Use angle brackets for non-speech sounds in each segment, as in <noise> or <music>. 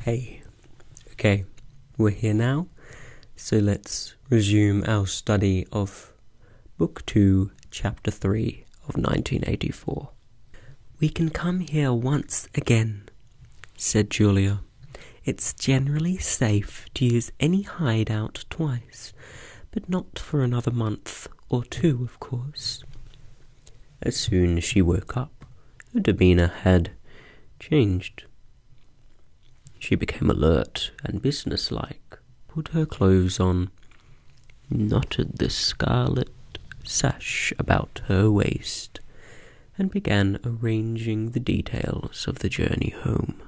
Hey, okay, we're here now, so let's resume our study of Book 2, Chapter 3 of 1984. We can come here once again, said Julia. It's generally safe to use any hideout twice, but not for another month or two, of course. As soon as she woke up, her demeanour had changed. She became alert and businesslike, put her clothes on, knotted the scarlet sash about her waist, and began arranging the details of the journey home.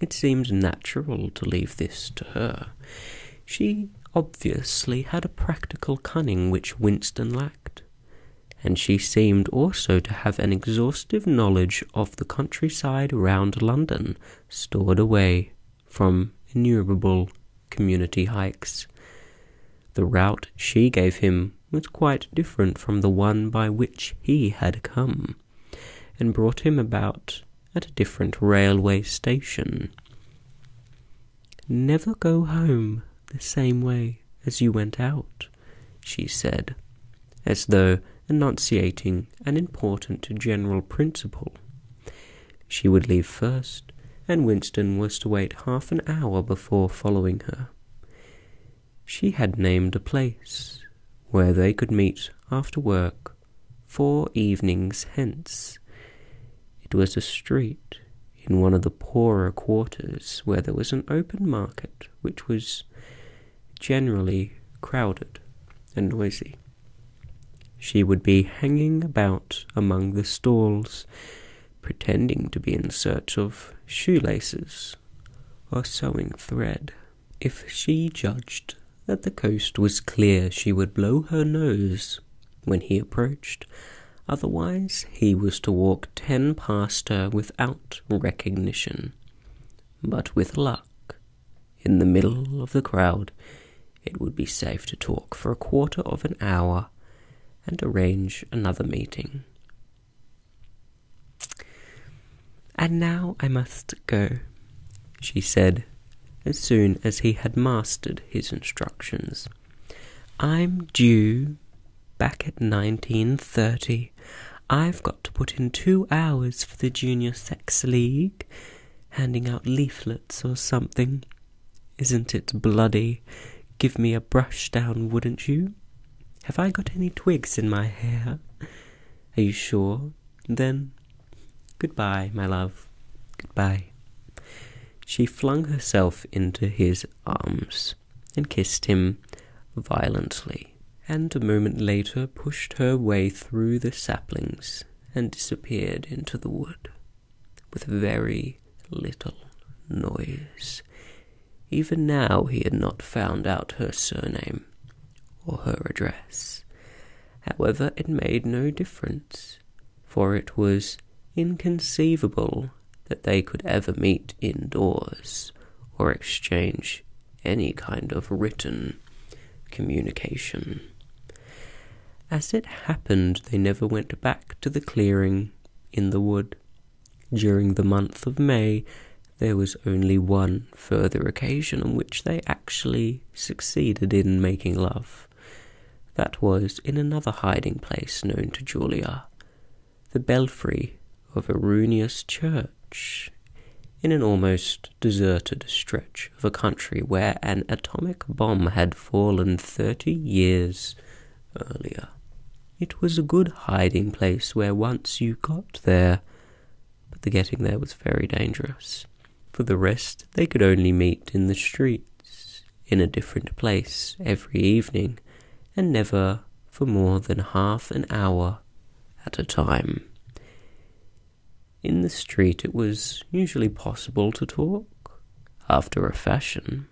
It seemed natural to leave this to her. She obviously had a practical cunning which Winston lacked and she seemed also to have an exhaustive knowledge of the countryside round London, stored away from innumerable community hikes. The route she gave him was quite different from the one by which he had come, and brought him about at a different railway station. Never go home the same way as you went out, she said, as though enunciating an important general principle. She would leave first, and Winston was to wait half an hour before following her. She had named a place where they could meet after work four evenings hence. It was a street in one of the poorer quarters where there was an open market which was generally crowded and noisy. She would be hanging about among the stalls, pretending to be in search of shoelaces or sewing thread. If she judged that the coast was clear, she would blow her nose when he approached Otherwise, he was to walk ten past her without recognition. But with luck, in the middle of the crowd, it would be safe to talk for a quarter of an hour and arrange another meeting. And now I must go, she said, as soon as he had mastered his instructions. I'm due back at 1930. I've got to put in two hours for the Junior Sex League, handing out leaflets or something. Isn't it bloody? Give me a brush down, wouldn't you? Have I got any twigs in my hair? Are you sure? Then good-bye, my love. Good-bye. She flung herself into his arms and kissed him violently, and a moment later pushed her way through the saplings and disappeared into the wood with very little noise. Even now he had not found out her surname or her address. However, it made no difference, for it was inconceivable that they could ever meet indoors or exchange any kind of written communication. As it happened, they never went back to the clearing in the wood. During the month of May, there was only one further occasion on which they actually succeeded in making love. That was in another hiding place known to Julia the belfry of a ruinous Church in an almost deserted stretch of a country where an atomic bomb had fallen thirty years earlier. It was a good hiding place where once you got there, but the getting there was very dangerous. For the rest, they could only meet in the streets, in a different place, every evening, and never for more than half an hour at a time. In the street, it was usually possible to talk, after a fashion,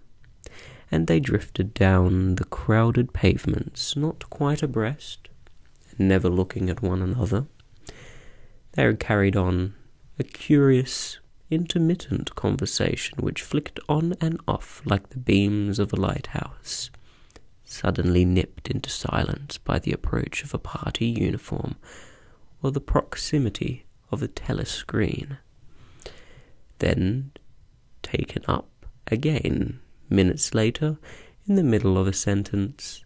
and they drifted down the crowded pavements, not quite abreast, never looking at one another. They carried on a curious, intermittent conversation which flicked on and off like the beams of a lighthouse, suddenly nipped into silence by the approach of a party uniform or the proximity of a telescreen, then taken up again minutes later in the middle of a sentence,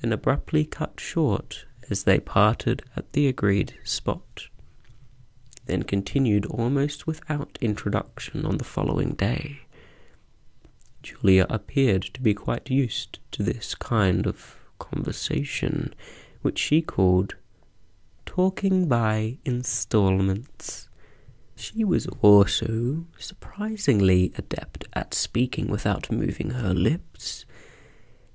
then abruptly cut short as they parted at the agreed spot then continued almost without introduction on the following day. Julia appeared to be quite used to this kind of conversation, which she called talking by installments. She was also surprisingly adept at speaking without moving her lips.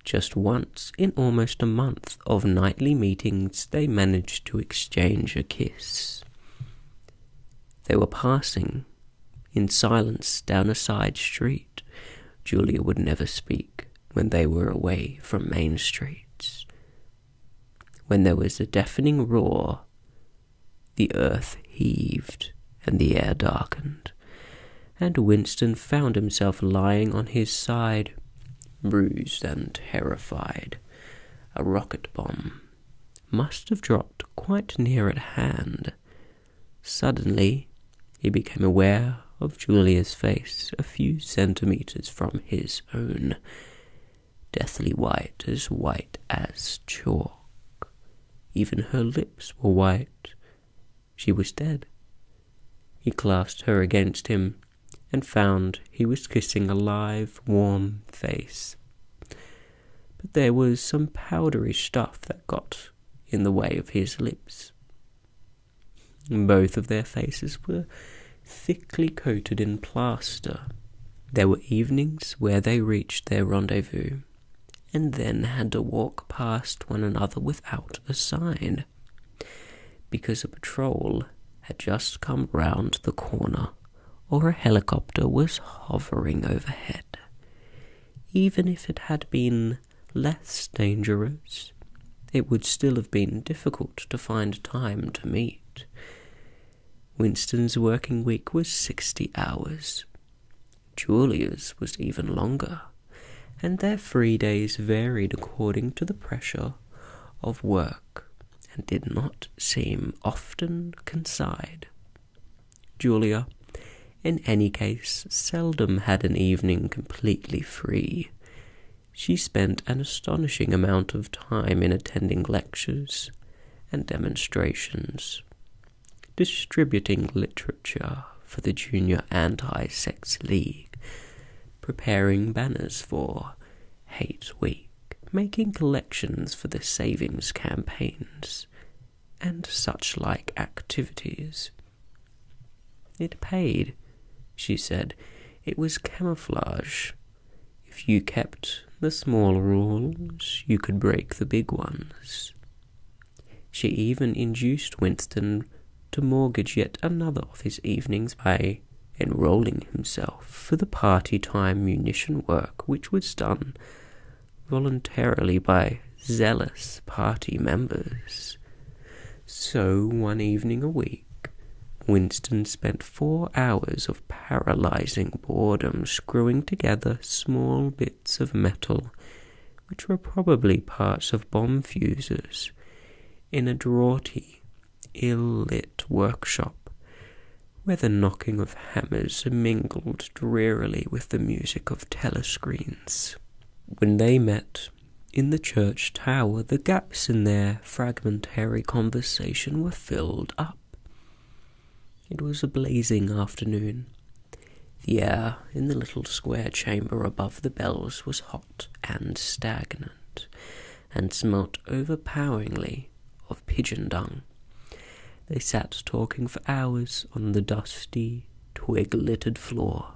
Just once in almost a month, of nightly meetings, they managed to exchange a kiss. They were passing in silence down a side street. Julia would never speak when they were away from main streets. When there was a deafening roar, the earth heaved and the air darkened, and Winston found himself lying on his side, bruised and terrified a rocket bomb, must have dropped quite near at hand. Suddenly, he became aware of Julia's face a few centimeters from his own, deathly white, as white as chalk. Even her lips were white. She was dead. He clasped her against him, and found he was kissing a live, warm face. But there was some powdery stuff that got in the way of his lips. Both of their faces were thickly coated in plaster. There were evenings where they reached their rendezvous and then had to walk past one another without a sign because a patrol had just come round the corner or a helicopter was hovering overhead. Even if it had been less dangerous, it would still have been difficult to find time to meet. Winston's working week was sixty hours. Julia's was even longer, and their free days varied according to the pressure of work and did not seem often consigned. Julia, in any case, seldom had an evening completely free. She spent an astonishing amount of time in attending lectures and demonstrations, distributing literature for the Junior Anti Sex League, preparing banners for Hate Week making collections for the savings campaigns and such like activities. It paid, she said. It was camouflage. If you kept the small rules, you could break the big ones. She even induced Winston to mortgage yet another of his evenings by enrolling himself for the party-time munition work which was done voluntarily by zealous party members. So one evening a week, Winston spent four hours of paralyzing boredom screwing together small bits of metal, which were probably parts of bomb fuses, in a draughty ill-lit workshop, where the knocking of hammers mingled drearily with the music of telescreens. When they met in the church tower, the gaps in their fragmentary conversation were filled up. It was a blazing afternoon. The air in the little square chamber above the bells was hot and stagnant and smelt overpoweringly of pigeon dung. They sat talking for hours on the dusty, twig littered floor,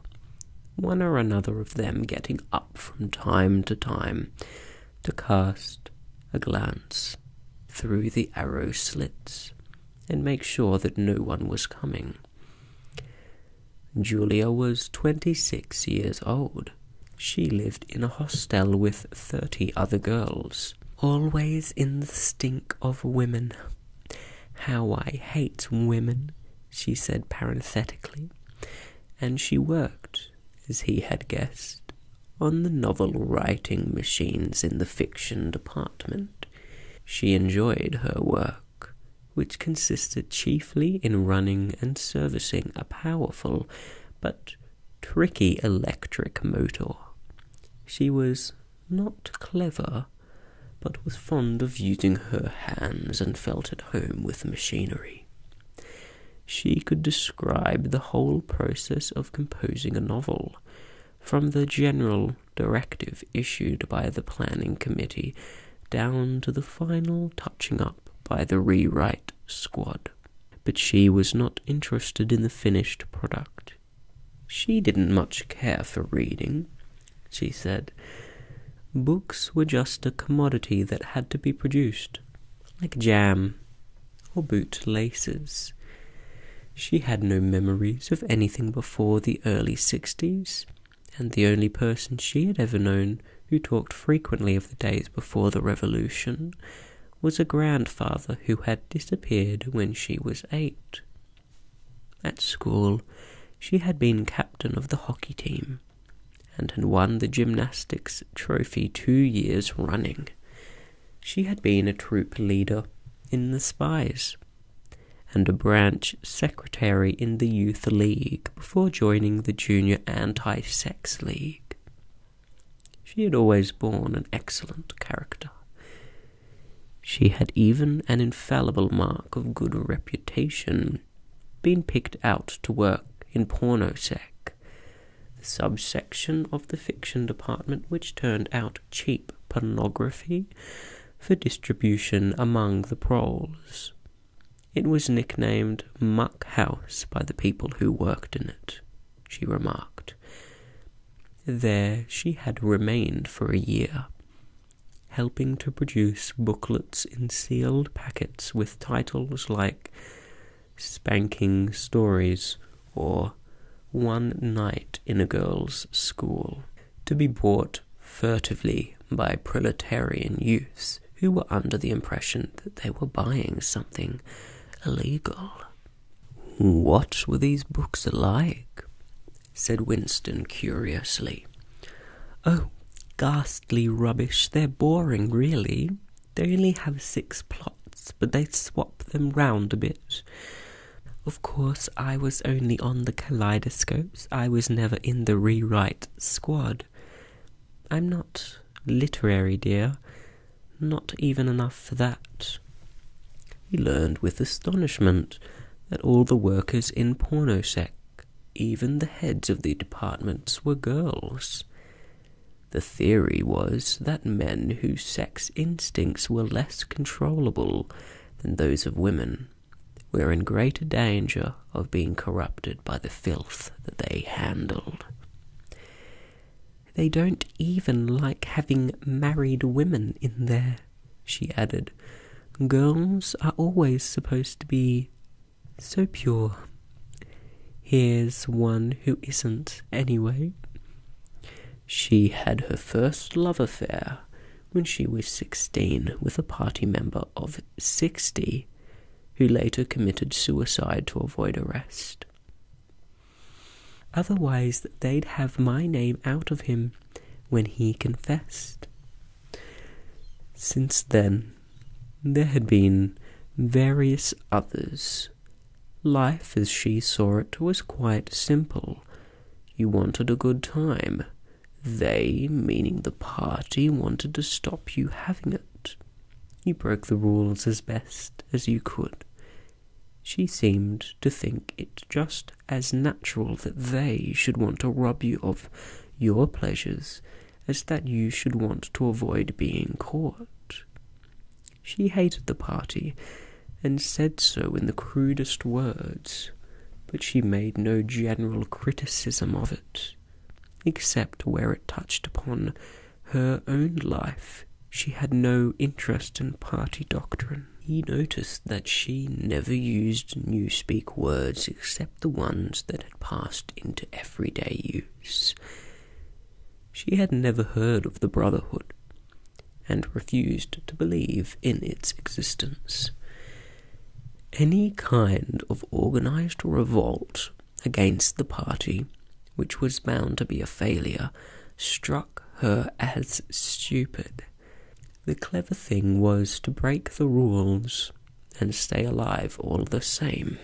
one or another of them getting up from time to time to cast a glance through the arrow slits and make sure that no one was coming. Julia was twenty six years old, she lived in a hostel with thirty other girls, always in the stink of women. How I hate women, she said parenthetically, and she worked, as he had guessed, on the novel writing machines in the fiction department. She enjoyed her work, which consisted chiefly in running and servicing a powerful but tricky electric motor. She was not clever, but was fond of using her hands and felt at home with machinery. She could describe the whole process of composing a novel, from the general directive issued by the planning committee down to the final touching up by the rewrite squad. But she was not interested in the finished product. She didn't much care for reading, she said. Books were just a commodity that had to be produced, like jam or bootlaces. She had no memories of anything before the early sixties, and the only person she had ever known who talked frequently of the days before the Revolution, was a grandfather who had disappeared when she was eight. At school, she had been captain of the hockey team and had won the gymnastics trophy two years running. She had been a troop leader in the Spies and a branch secretary in the Youth League before joining the Junior Anti Sex League. She had always borne an excellent character. She had even an infallible mark of good reputation, been picked out to work in pornosec, the subsection of the fiction department which turned out cheap pornography for distribution among the proles. It was nicknamed Muck House by the people who worked in it, she remarked. There she had remained for a year, helping to produce booklets in sealed packets with titles like Spanking Stories or One Night in a Girl's School, to be bought furtively by proletarian youths who were under the impression that they were buying something illegal. What were these books like? said Winston curiously. Oh, ghastly rubbish. They're boring, really. They only have six plots, but they swap them round a bit. Of course, I was only on the kaleidoscopes. I was never in the rewrite squad. I'm not literary, dear, not even enough for that. He learned with astonishment that all the workers in Pornosec, even the heads of the departments, were girls. The theory was that men whose sex instincts were less controllable than those of women were in greater danger of being corrupted by the filth that they handled. They don't even like having married women in there, she added. Girls are always supposed to be so pure. Here's one who isn't, anyway. She had her first love affair when she was 16 with a party member of 60 who later committed suicide to avoid arrest. Otherwise, they'd have my name out of him when he confessed. Since then, there had been various others. Life as she saw it was quite simple. You wanted a good time. They, meaning the party, wanted to stop you having it. You broke the rules as best as you could. She seemed to think it just as natural that they should want to rob you of your pleasures as that you should want to avoid being caught. She hated the party and said so in the crudest words, but she made no general criticism of it, except where it touched upon her own life, she had no interest in party doctrine. He noticed that she never used newspeak words except the ones that had passed into everyday use. She had never heard of the Brotherhood and refused to believe in its existence. Any kind of organized revolt against the party, which was bound to be a failure, struck her as stupid. The clever thing was to break the rules and stay alive all the same.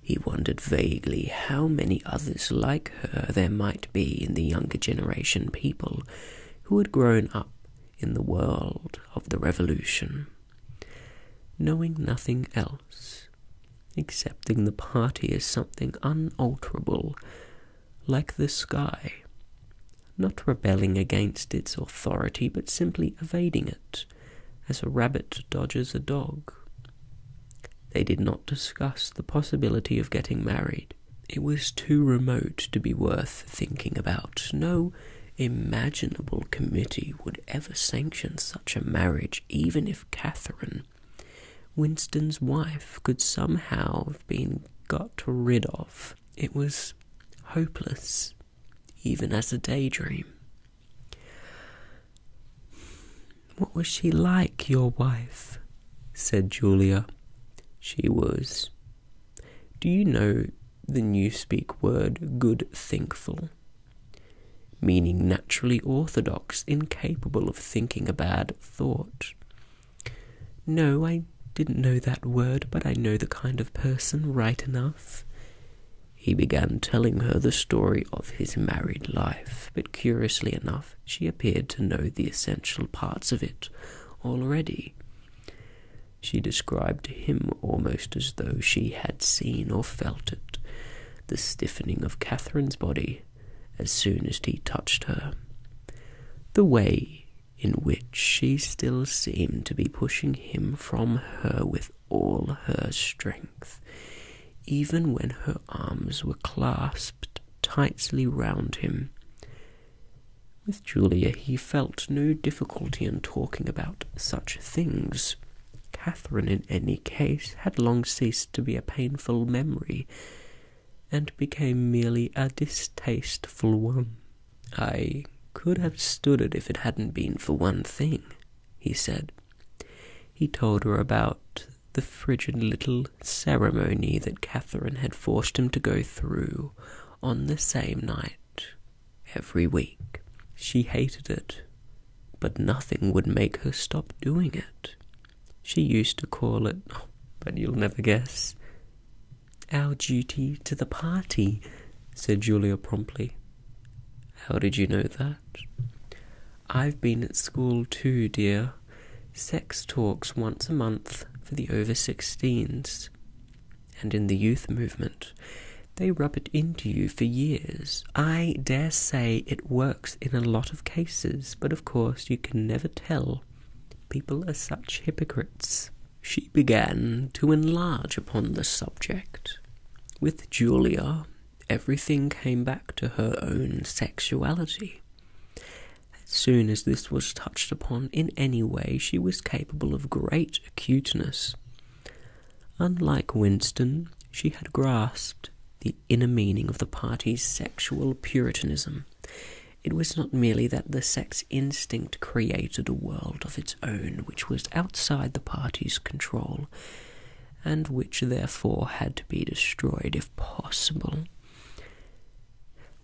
He wondered vaguely how many others like her there might be in the younger generation people who had grown up in the world of the revolution. Knowing nothing else, accepting the party as something unalterable, like the sky, not rebelling against its authority, but simply evading it, as a rabbit dodges a dog. They did not discuss the possibility of getting married. It was too remote to be worth thinking about. No imaginable committee would ever sanction such a marriage even if Catherine, Winston's wife, could somehow have been got rid of. It was hopeless, even as a daydream. What was she like, your wife? said Julia. She was. Do you know the new speak word good thinkful? meaning naturally orthodox, incapable of thinking a bad thought. No, I didn't know that word, but I know the kind of person right enough. He began telling her the story of his married life, but curiously enough, she appeared to know the essential parts of it already. She described him almost as though she had seen or felt it, the stiffening of Catherine's body as soon as he touched her, the way in which she still seemed to be pushing him from her with all her strength, even when her arms were clasped tightly round him. With Julia, he felt no difficulty in talking about such things. Catherine, in any case, had long ceased to be a painful memory, and became merely a distasteful one. I could have stood it if it hadn't been for one thing, he said. He told her about the frigid little ceremony that Catherine had forced him to go through on the same night every week. She hated it but nothing would make her stop doing it. She used to call it, oh, but you'll never guess, our duty to the party, said Julia promptly. How did you know that? I've been at school too, dear. Sex talks once a month for the over 16s. And in the youth movement, they rub it into you for years. I dare say it works in a lot of cases, but of course you can never tell. People are such hypocrites. She began to enlarge upon the subject. With Julia, everything came back to her own sexuality. As soon as this was touched upon in any way, she was capable of great acuteness. Unlike Winston, she had grasped the inner meaning of the party's sexual puritanism. It was not merely that the sex instinct created a world of its own which was outside the party's control, and which therefore had to be destroyed if possible.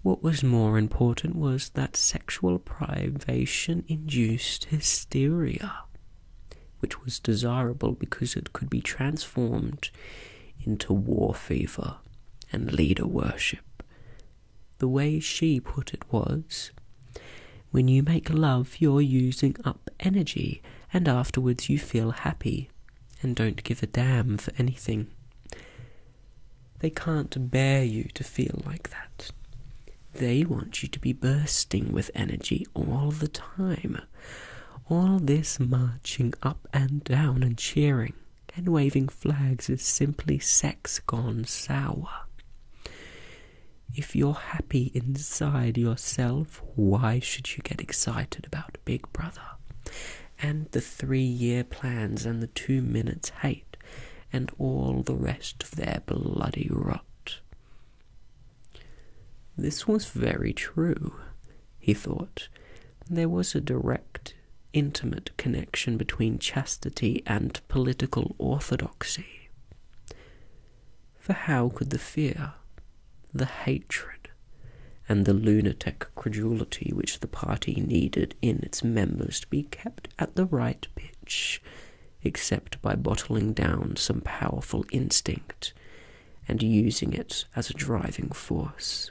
What was more important was that sexual privation induced hysteria which was desirable because it could be transformed into war fever and leader worship. The way she put it was when you make love, you're using up energy, and afterwards you feel happy and don't give a damn for anything. They can't bear you to feel like that. They want you to be bursting with energy all the time all this marching up and down and cheering and waving flags is simply sex gone sour. If you're happy inside yourself, why should you get excited about Big Brother? And the three year plans and the two minutes hate and all the rest of their bloody rot. This was very true, he thought. There was a direct, intimate connection between chastity and political orthodoxy. For how could the fear, the hatred, and the lunatic credulity which the party needed in its members to be kept at the right pitch, except by bottling down some powerful instinct and using it as a driving force.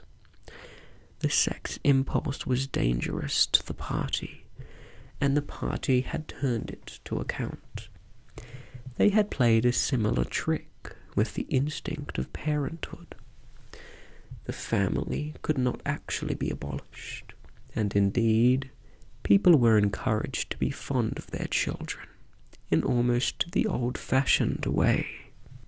The sex impulse was dangerous to the party, and the party had turned it to account. They had played a similar trick with the instinct of parenthood. The family could not actually be abolished, and indeed, people were encouraged to be fond of their children in almost the old-fashioned way.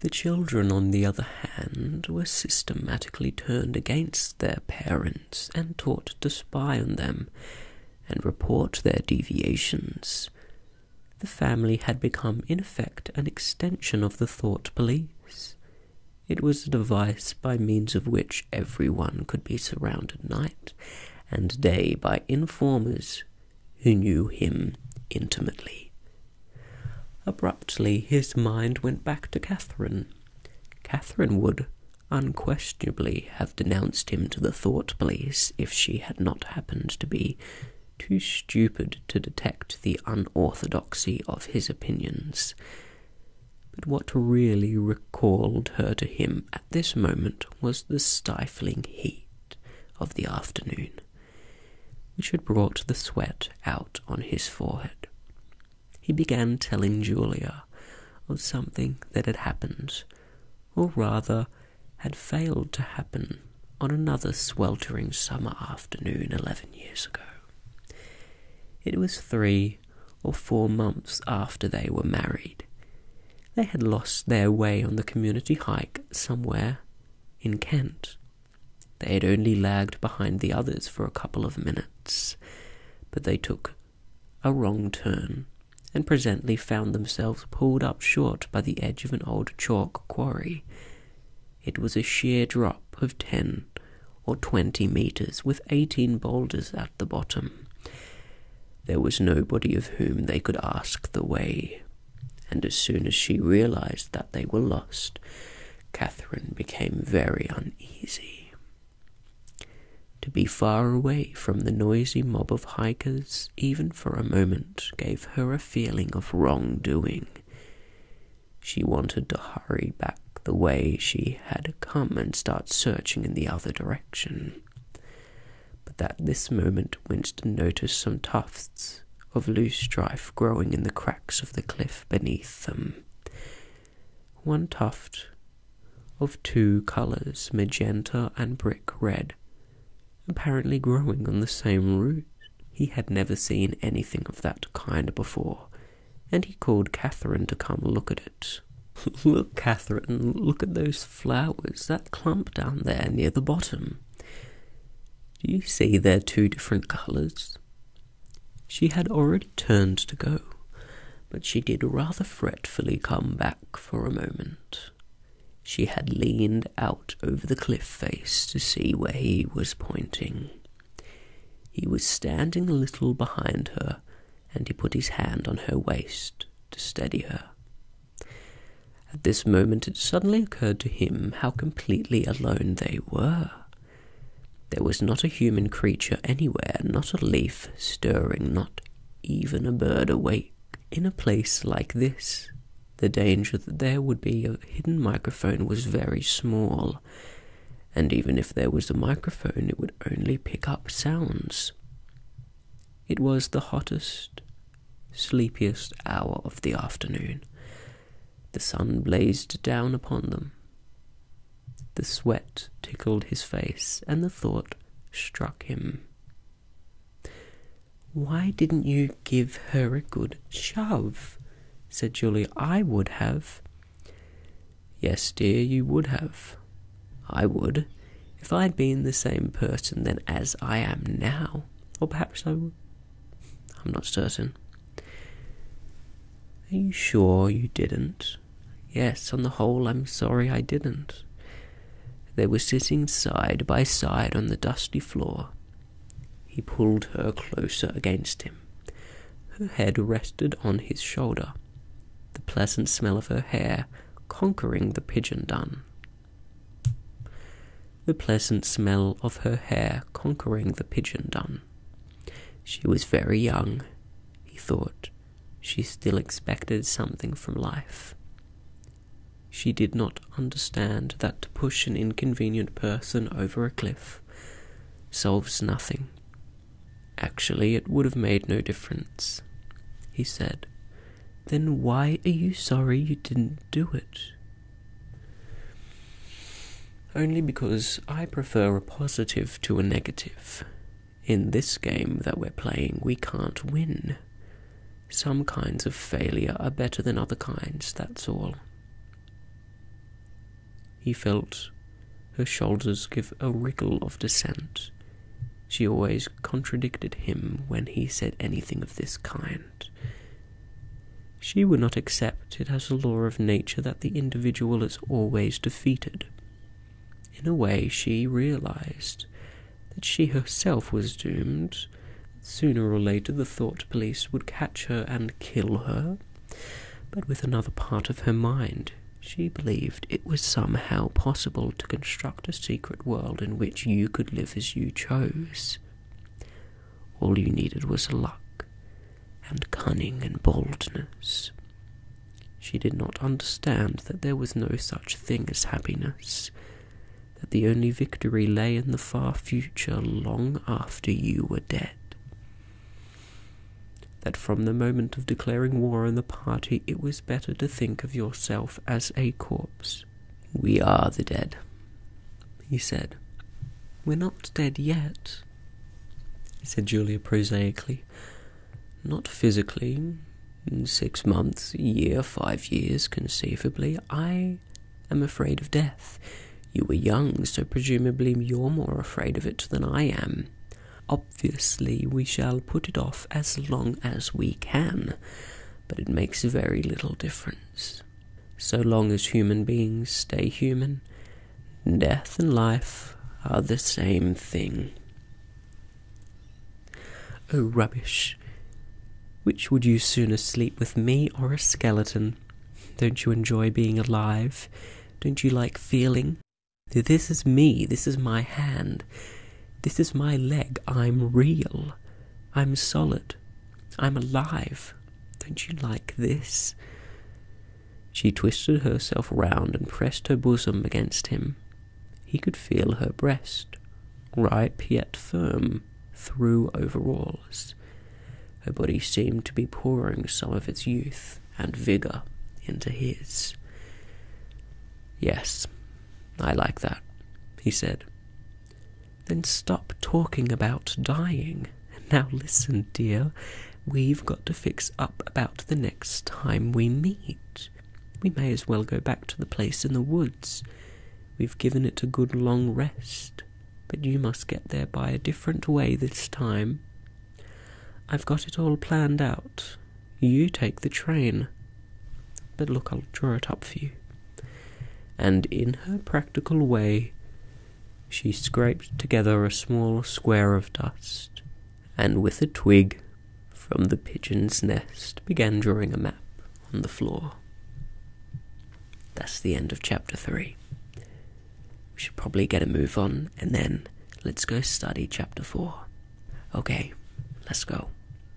The children, on the other hand, were systematically turned against their parents and taught to spy on them and report their deviations. The family had become, in effect, an extension of the thought police. It was a device by means of which everyone could be surrounded night and day by informers who knew him intimately. Abruptly, his mind went back to Catherine. Catherine would unquestionably have denounced him to the thought police if she had not happened to be too stupid to detect the unorthodoxy of his opinions. But what really recalled her to him at this moment was the stifling heat of the afternoon, which had brought the sweat out on his forehead. He began telling Julia of something that had happened, or rather had failed to happen, on another sweltering summer afternoon eleven years ago. It was three or four months after they were married they had lost their way on the community hike somewhere in Kent. They had only lagged behind the others for a couple of minutes, but they took a wrong turn and presently found themselves pulled up short by the edge of an old chalk quarry. It was a sheer drop of ten or twenty metres with eighteen boulders at the bottom. There was nobody of whom they could ask the way, and as soon as she realized that they were lost, Catherine became very uneasy. To be far away from the noisy mob of hikers, even for a moment, gave her a feeling of wrongdoing. She wanted to hurry back the way she had come and start searching in the other direction but that this moment Winston noticed some tufts of loose strife growing in the cracks of the cliff beneath them. One tuft of two colours, magenta and brick red, apparently growing on the same root. He had never seen anything of that kind before, and he called Catherine to come look at it. <laughs> look, Catherine, look at those flowers, that clump down there near the bottom. Do you see they're two different colours? She had already turned to go, but she did rather fretfully come back for a moment. She had leaned out over the cliff face to see where he was pointing. He was standing a little behind her, and he put his hand on her waist to steady her. At this moment, it suddenly occurred to him how completely alone they were. There was not a human creature anywhere, not a leaf stirring, not even a bird awake. In a place like this, the danger that there would be a hidden microphone was very small, and even if there was a microphone, it would only pick up sounds. It was the hottest, sleepiest hour of the afternoon. The sun blazed down upon them. The sweat tickled his face, and the thought struck him. Why didn't you give her a good shove? said Julie. I would have. Yes, dear, you would have. I would, if I had been the same person then as I am now. Or perhaps I would. I'm not certain. Are you sure you didn't? Yes, on the whole, I'm sorry I didn't. They were sitting side by side on the dusty floor. He pulled her closer against him. Her head rested on his shoulder, the pleasant smell of her hair conquering the pigeon dun the pleasant smell of her hair conquering the pigeon dun. She was very young, he thought. She still expected something from life. She did not understand that to push an inconvenient person over a cliff solves nothing. Actually, it would have made no difference, he said, then why are you sorry you didn't do it? Only because I prefer a positive to a negative. In this game that we're playing, we can't win. Some kinds of failure are better than other kinds, that's all. He felt her shoulders give a wriggle of dissent she always contradicted him when he said anything of this kind. She would not accept it as a law of nature that the individual is always defeated. In a way, she realized that she herself was doomed. Sooner or later, the thought police would catch her and kill her. But with another part of her mind, she believed it was somehow possible to construct a secret world in which you could live as you chose. All you needed was luck and cunning and boldness. She did not understand that there was no such thing as happiness, that the only victory lay in the far future long after you were dead. That from the moment of declaring war on the party, it was better to think of yourself as a corpse, we are the dead, he said. We're not dead yet, said Julia prosaically. Not physically. In six months, a year, five years, conceivably. I am afraid of death. You were young, so presumably you're more afraid of it than I am. Obviously, we shall put it off as long as we can but it makes very little difference. So long as human beings stay human, death and life are the same thing. Oh, rubbish! Which would you sooner sleep with me or a skeleton? Don't you enjoy being alive? Don't you like feeling? This is me, this is my hand, this is my leg, I'm real. I'm solid. I'm alive. Don't you like this? She twisted herself round and pressed her bosom against him. He could feel her breast, ripe yet firm, through overalls. Her body seemed to be pouring some of its youth and vigour into his. Yes, I like that, he said. Then stop talking about dying. Now listen, dear, we've got to fix up about the next time we meet. We may as well go back to the place in the woods. We've given it a good long rest, but you must get there by a different way this time. I've got it all planned out. You take the train. But look, I'll draw it up for you. And in her practical way, she scraped together a small square of dust, and with a twig from the pigeon's nest began drawing a map on the floor. That's the end of chapter three. We should probably get a move on, and then let's go study chapter four. Okay, let's go.